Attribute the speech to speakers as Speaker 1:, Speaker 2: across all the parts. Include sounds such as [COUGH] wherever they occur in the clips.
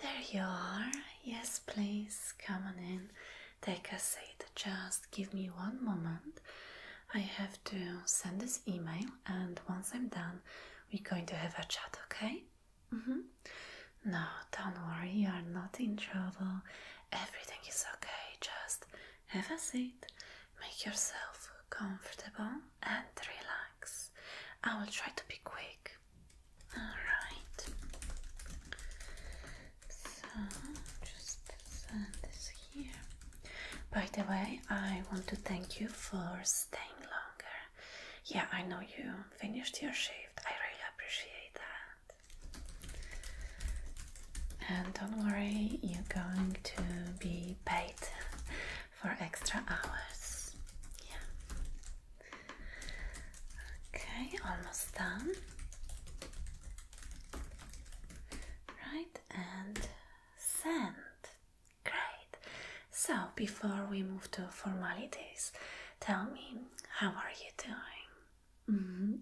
Speaker 1: There you are. Yes, please come on in. Take a seat. Just give me one moment. I have to send this email, and once I'm done, we're going to have a chat, okay? -hmm. No, don't worry, you are not in trouble. Everything is okay, just have a seat, make yourself comfortable, and relax. I will try to be quick. Alright, so just send this here. By the way, I want to thank you for staying longer. Yeah, I know you finished your shift, I really appreciate that. And don't worry, you're going to be paid for extra hours. Yeah. Okay, almost done. Right, and send. Great. So, before we move to formalities, tell me, how are you doing? Mm -hmm.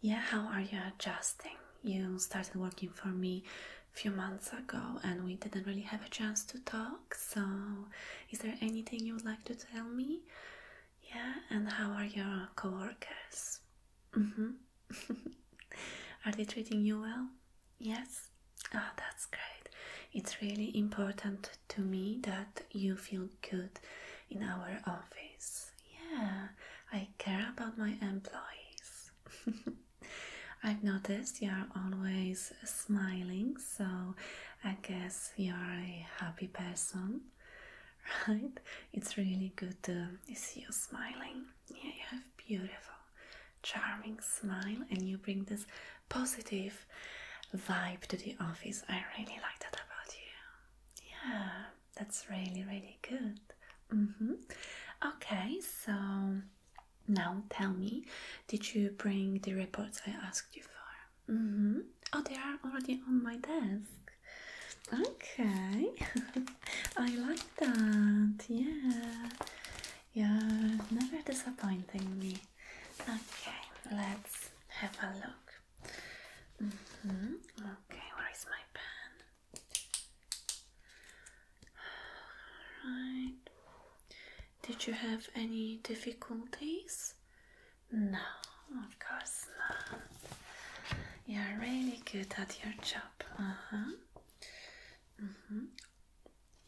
Speaker 1: Yeah, how are you adjusting? You started working for me a few months ago and we didn't really have a chance to talk. So, is there anything you would like to tell me? Yeah, and how are your coworkers? Mm -hmm. [LAUGHS] are they treating you well? Yes. oh, that's great. It's really important to me that you feel good in our office. Yeah, I care about my employees. [LAUGHS] I've noticed you are always smiling, so I guess you are a happy person, [LAUGHS] right? It's really good to see you smiling. Yeah, you have beautiful, charming smile, and you bring this positive vibe to the office. I really like that about you. Yeah, that's really, really good. Mm-hmm. Okay, so now tell me, did you bring the reports I asked you for? Mm-hmm. Oh, they are already on my desk. Okay, [LAUGHS] I like that. Yeah, yeah, never disappointing me. Okay, let's have a look. Mm-hmm. Okay, where is my pen? Alright. Did you have any difficulties? No, of course not. You're really good at your job. Uh huh. Mm hmm.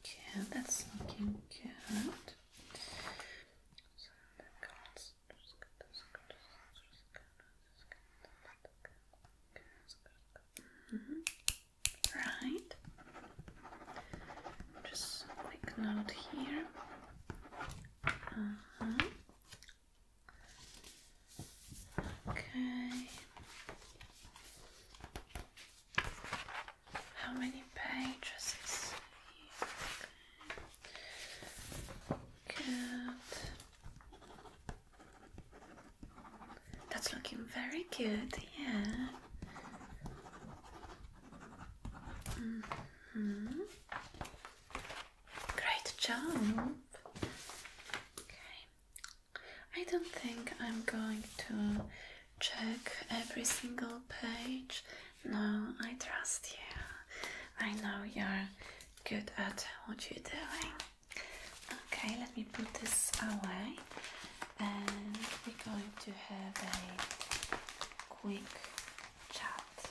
Speaker 1: Yeah, that's looking good. So the cards Mm -hmm. Right. Just a note here. Uh-huh. Okay. How many pages is here? Good. That's looking very good, yeah. Mm-hmm. Great job. Okay. I don't think I'm going to check every single page no, I trust you. I know you're good at what you're doing. Okay, let me put this away and we're going to have a quick chat.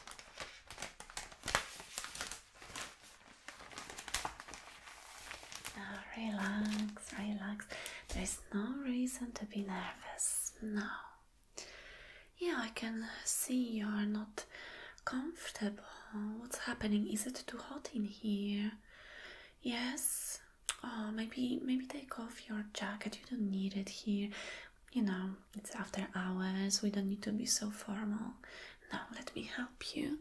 Speaker 1: Now relax, relax. There is no reason to be nervous. No. Yeah, I can see you're not comfortable. What's happening? Is it too hot in here? Yes. Oh, maybe maybe take off your jacket. You don't need it here. You know, it's after hours. We don't need to be so formal. Now let me help you.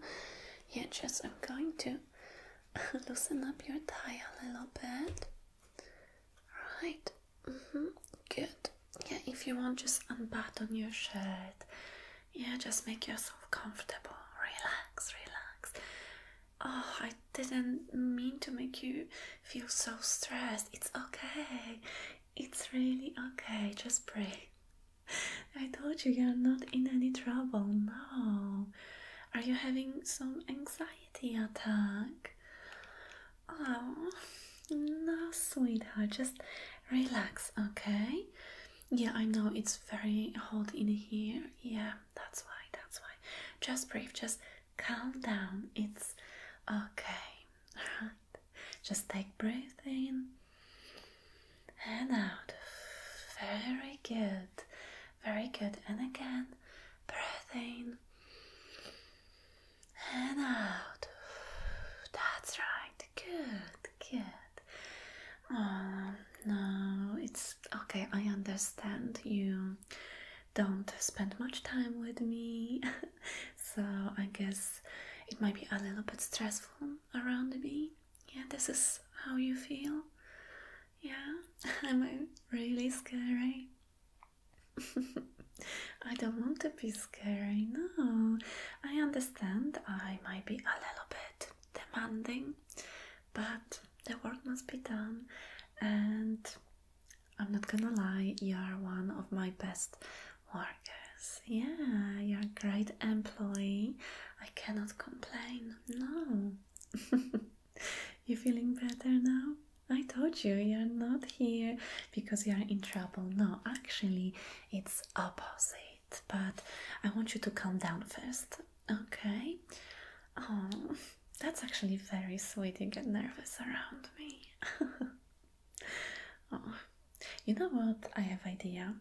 Speaker 1: Yeah, just I'm going to [LAUGHS] loosen up your tie a little bit. Right. Mm -hmm. Good. Yeah, if you want, just unbutton your shirt. Yeah, just make yourself comfortable. Relax, relax. Oh, I didn't mean to make you feel so stressed. It's okay. It's really okay. Just breathe. I told you you're not in any trouble. No. Are you having some anxiety attack? Oh, no, sweetheart, just relax, okay? Yeah, I know it's very hot in here. Yeah, that's why, that's why. Just breathe, just calm down. It's okay. All right. [LAUGHS] Just take breath in and out. Very good. Very good. And again, breathing and out. That's right. Good, good. Oh, no, it's okay. I understand you don't spend much time with me, [LAUGHS] so I guess it might be a little bit stressful around me. Yeah, this is how you feel. Yeah, [LAUGHS] i am really scary? [LAUGHS] I don't want to be scary, no. I understand I might be a little bit demanding, but the work must be done, and I'm not gonna lie, you're one of my best workers. Yeah, you're a great employee. I cannot complain, no. [LAUGHS] you feeling better now? I told you you're not here because you're in trouble. No, actually, it's opposite. But I want you to calm down first, okay? Oh, that's actually very sweet. You get nervous around me. oh, [LAUGHS] you know what? I have idea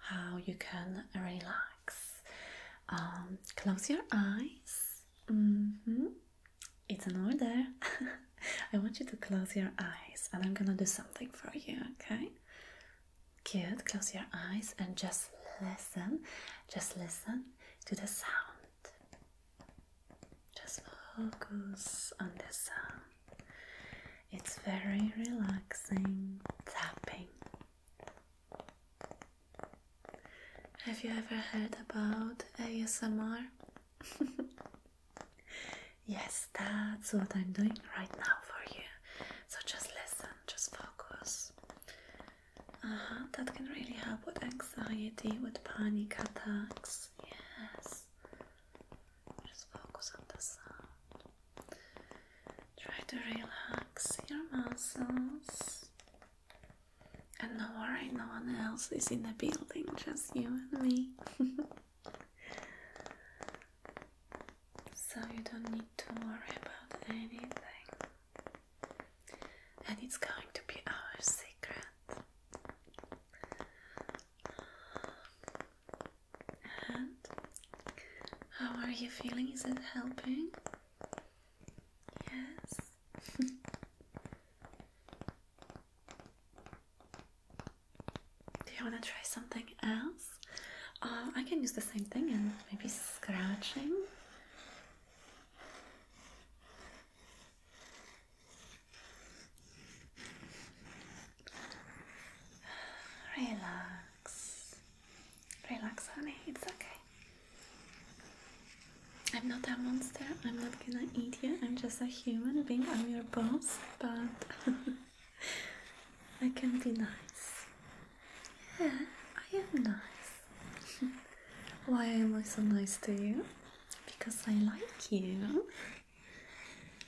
Speaker 1: how you can relax. Um, close your eyes. Mm -hmm. It's an order. [LAUGHS] I want you to close your eyes and I'm gonna do something for you, okay? Good, close your eyes and just listen. Just listen to the sound. Just focus on the sound. It's very relaxing tapping. Have you ever heard about ASMR? [LAUGHS] yes, that's what I'm doing right now for you. So just listen, just focus. Uh -huh, that can really help with anxiety, with panic attacks. Yes. Just focus on the sound. Try to relax your muscles. And no worry, no one else is in the building, just you and me. [LAUGHS] so you don't need to worry about anything. And it's going to be our secret. And how are you feeling? Is it helping? Yes. [LAUGHS] Do you want to try something else? Um, I can use the same thing and maybe scratching. Relax. Relax, honey. It's okay. I'm not a monster, I'm not gonna eat you, I'm just a human being, I'm your boss, but [LAUGHS] I can be nice. Yeah, I am nice. [LAUGHS] Why am I so nice to you? Because I like you.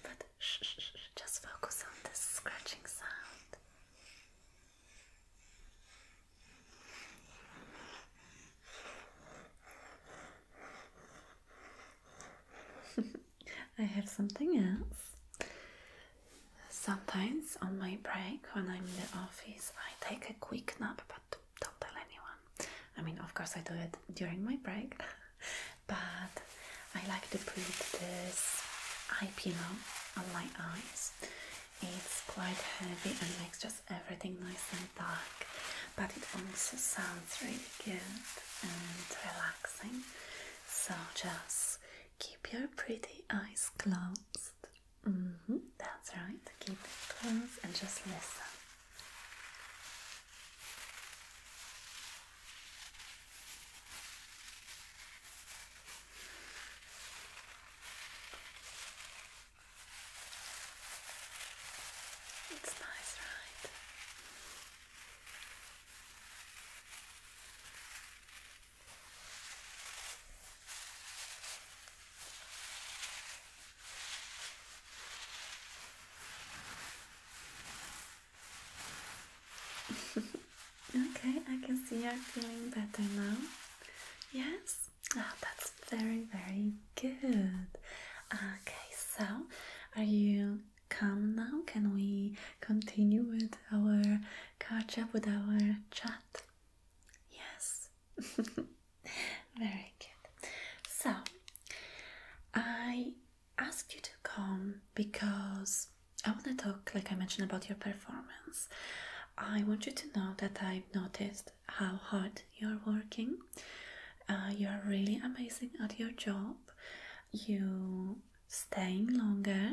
Speaker 1: But shh, just focus on this scratching sound. [LAUGHS] I have something else. Sometimes on my break when I'm in the office, I take a quick nap, but don't tell anyone. I mean, of course, I do it during my break, [LAUGHS] but I like to put this eye pillow on my eyes. It's quite heavy and makes just everything nice and dark, but it also sounds really good and relaxing. So just keep your pretty eyes closed. Mm-hmm, that's right, keep it closed and just listen. It's nice, right? [LAUGHS] okay, I can see you're feeling better now. Yes? Ah, that's very, very good. Okay, so are you calm now? Can we continue with our catch up with our chat? Yes, [LAUGHS] very good. So I ask you to come because I want to talk, like I mentioned, about your performance. I want you to know that I've noticed how hard you're working. Uh, you're really amazing at your job. You staying longer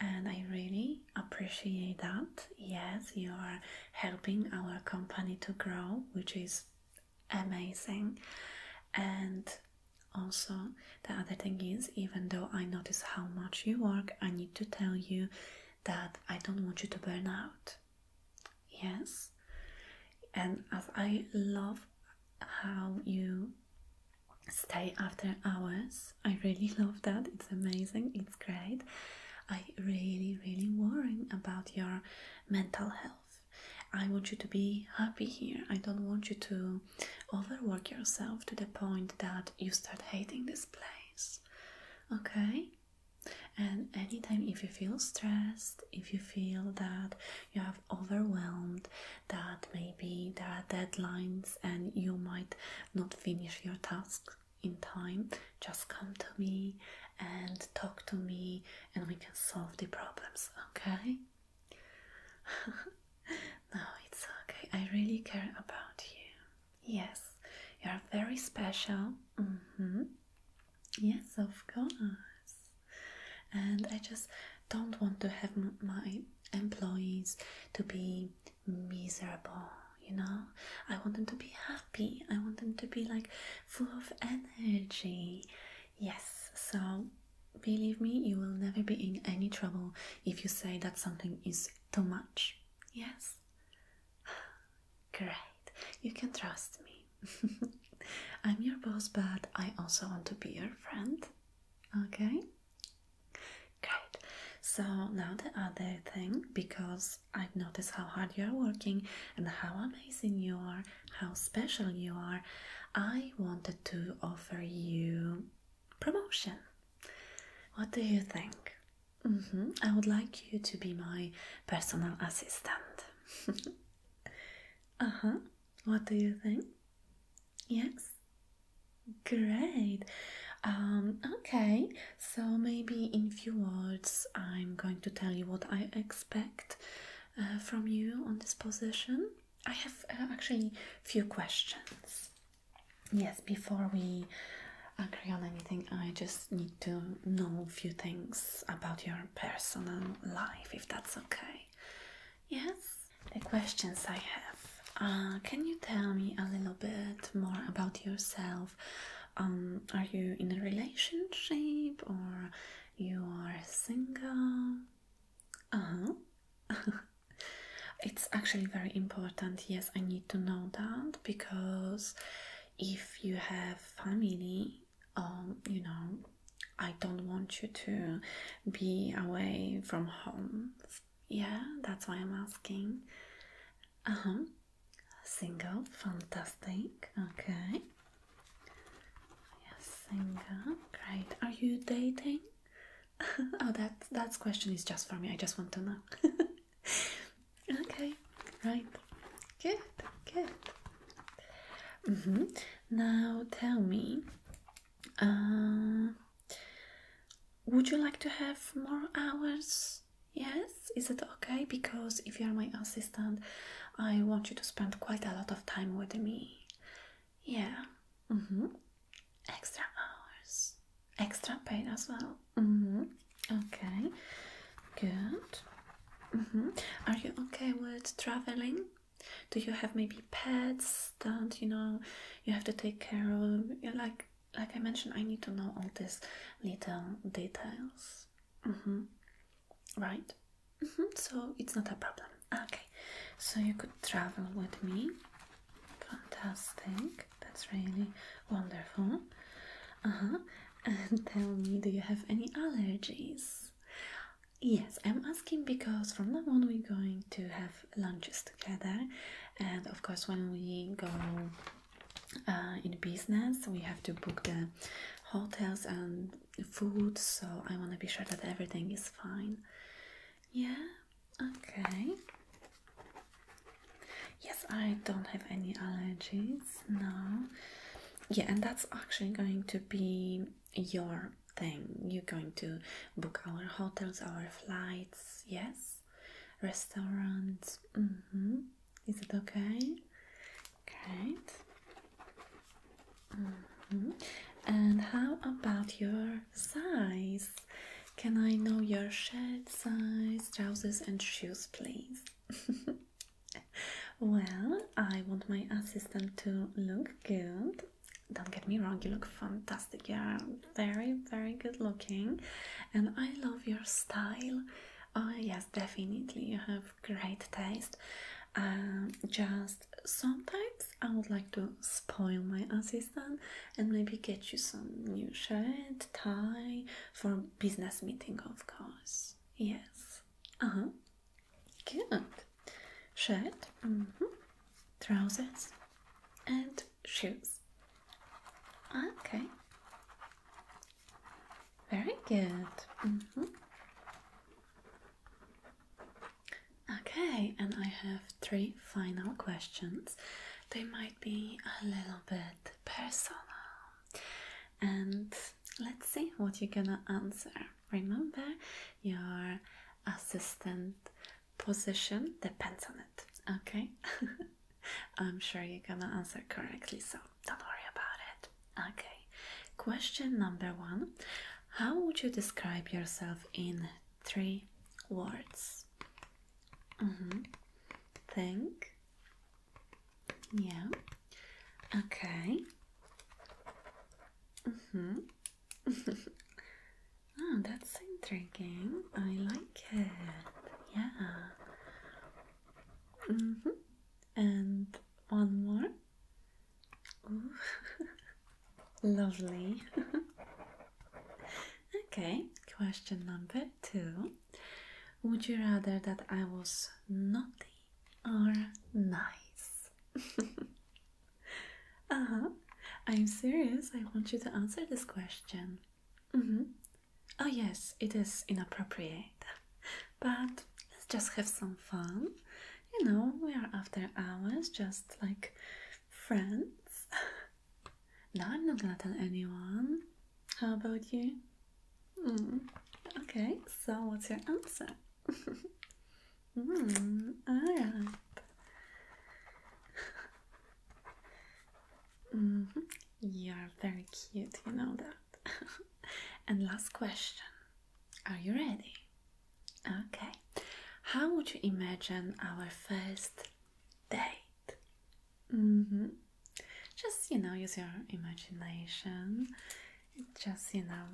Speaker 1: and I really appreciate that. Yes, you are helping our company to grow, which is amazing. And also, the other thing is, even though I notice how much you work, I need to tell you that I don't want you to burn out. Yes, and as I love how you stay after hours, I really [LAUGHS] love that. It's amazing, it's great. I really, really worry about your mental health. I want you to be happy here. I don't want you to overwork yourself to the point that you start hating this place. Okay? And anytime if you feel stressed, if you feel that you have overwhelmed, that maybe there are deadlines and you might not finish your tasks in time, just come to me and talk to me and we can solve the problems, okay? [LAUGHS] no, it's okay. I really care about you. Yes, you're very special. Mm -hmm. Yes, of course. And I just don't want to have my employees to be miserable, you know? I want them to be happy. I want them to be like full of energy. Yes, so believe me, you will never be in any trouble if you say that something is too much. Yes? [SIGHS] Great, you can trust me. [LAUGHS] I'm your boss, but I also want to be your friend. Okay? Great. So now the other thing, because I've noticed how hard you're working and how amazing you are, how special you are, I wanted to offer you promotion. What do you think? Mm -hmm. I would like you to be my personal assistant. [LAUGHS] uh huh. What do you think? Yes. Great. Um, okay, so maybe in few words, I'm going to tell you what I expect uh, from you on this position. I have uh, actually few questions. Yes, before we agree on anything, I just need to know a few things about your personal life, if that's okay. Yes? The questions I have. Uh, can you tell me a little bit more about yourself? Um, are you in a relationship or you are single? Uh huh. [LAUGHS] it's actually very important. Yes, I need to know that because if you have family, um, you know, I don't want you to be away from home. Yeah, that's why I'm asking. Uh huh. Single, fantastic. Okay. Yes, single, great. Are you dating? [LAUGHS] oh, that that question is just for me. I just want to know. [LAUGHS] okay, right. Good, good. Mm-hmm. Now tell me, uh, would you like to have more hours? Yes, is it okay? Because if you are my assistant, I want you to spend quite a lot of time with me. Yeah. Mm -hmm. Extra hours extra pain as well. Mm-hmm. Okay, good. Mm-hmm. Are you okay with traveling? Do you have maybe pets that you know you have to take care of? Like like I mentioned, I need to know all these little details. Mm-hmm. Right. So it's not a problem. Okay, so you could travel with me. Fantastic. That's really wonderful. Uh-huh. And [LAUGHS] tell me, do you have any allergies? Yes, I'm asking because from now on we're going to have lunches together, and of course, when we go uh, in business, we have to book the hotels and food, so I want to be sure that everything is fine. Yeah, okay, Yes, I don't have any allergies No, Yeah, and that's actually going to be your thing. You're going to book our hotels, our flights, yes? Restaurants. Mm-hmm. Is it okay? Great. Mm-hmm. And how about your size? Can I know your shirt size? trousers and shoes, please. [LAUGHS] well, I want my assistant to look good. Don't get me wrong, you look fantastic. You are very, very good looking, and I love your style. Oh, yes, definitely. You have great taste. Um, just sometimes I would like to spoil my assistant and maybe get you some new shirt, tie for business meeting, of course. Yes. Uh huh. Good. Shirt, mm -hmm. trousers, and shoes. Okay. Very good. Mm -hmm. Okay, and I have three final questions they might be a little bit personal. And let's see what you're gonna answer. Remember, your assistant position depends on it, okay? [LAUGHS] I'm sure you're gonna answer correctly, so don't worry about it. Okay, question number one How would you describe yourself in three words? Mm -hmm. Think, yeah. Okay. Mm-hmm. oh, [LAUGHS] that's interesting. I like it. Yeah. Mm-hmm. And one more. [LAUGHS] Lovely. [LAUGHS] okay, question number two. Would you rather that I was naughty or nice? [LAUGHS] uh huh. I'm serious. I want you to answer this question. Mm hmm. Oh, yes, it is inappropriate. But let's just have some fun. You know, we are after hours, just like friends. [LAUGHS] No, I'm not gonna tell anyone. How about you? Mm. Okay, so what's your answer? [LAUGHS] mm, Alright. [LAUGHS] Mm-hmm. You're very cute, you know that. [LAUGHS] and last question Are you ready? Okay. How would you imagine our first date? Mm -hmm. Just, you know, use your imagination. Just, you know,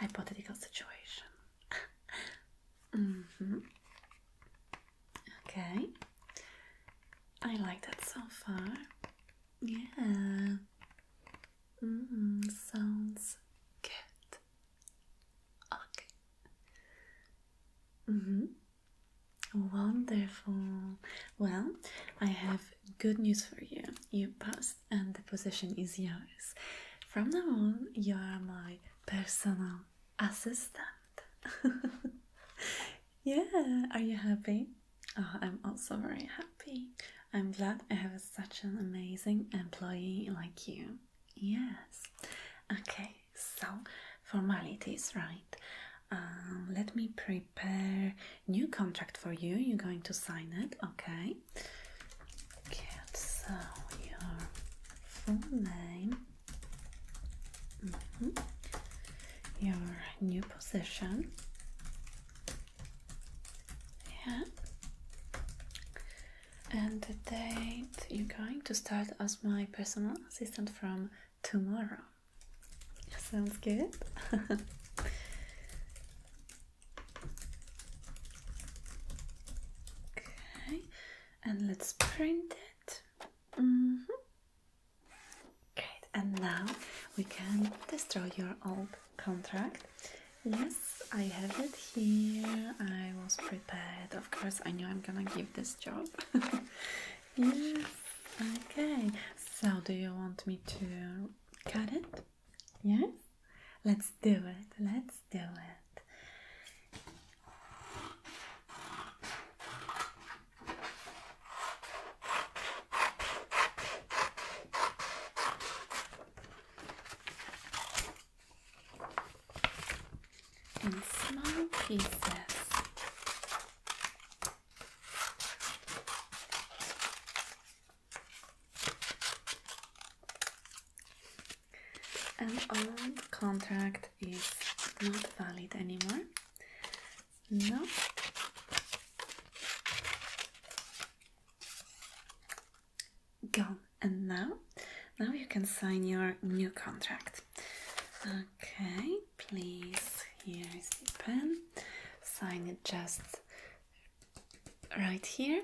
Speaker 1: hypothetical situation. [LAUGHS] mm -hmm. Okay. I like that so far. Yeah. Mm -hmm. Sounds good. Okay. Mm-hmm. Wonderful. Well, I have good news for you. You passed, and the position is yours. From now on, you are my personal assistant. [LAUGHS] yeah, are you happy? Oh, I'm also very happy. I'm glad I have such an amazing employee like you. Yes. Okay, so formalities, right? Um, let me prepare new contract for you. You're going to sign it, okay? Okay, so your full name, mm-hmm. your new position, yeah, and the date you're going to start as my personal assistant from tomorrow. Sounds good. [LAUGHS] okay, and let's print it. Mm and now we can destroy your old contract. Yes, I have it here. I was prepared. Of course, I knew I'm gonna give this job. [LAUGHS] Yes. Okay. So, do you want me to cut it? Yes. Let's do it. Let's do it. small pieces. And our contract is not valid anymore. No. Gone. And now, now you can sign your new contract. Okay, please. Here is the pen. Sign it just right here.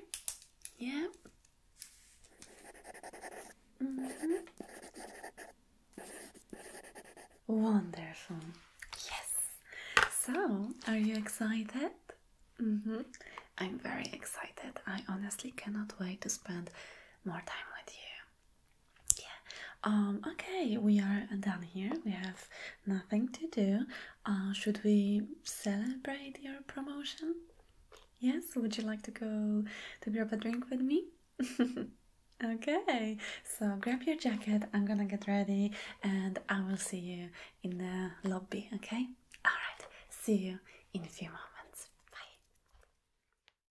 Speaker 1: Yeah. -hmm. Wonderful. Yes. So, are you excited? -hmm. I'm very excited. I honestly cannot wait to spend more time with you yeah um, okay we are done here we have nothing to do uh, should we celebrate your promotion yes would you like to go to grab a drink with me [LAUGHS] okay so grab your jacket i'm gonna get ready and i will see you in the lobby okay all right see you in a few moments bye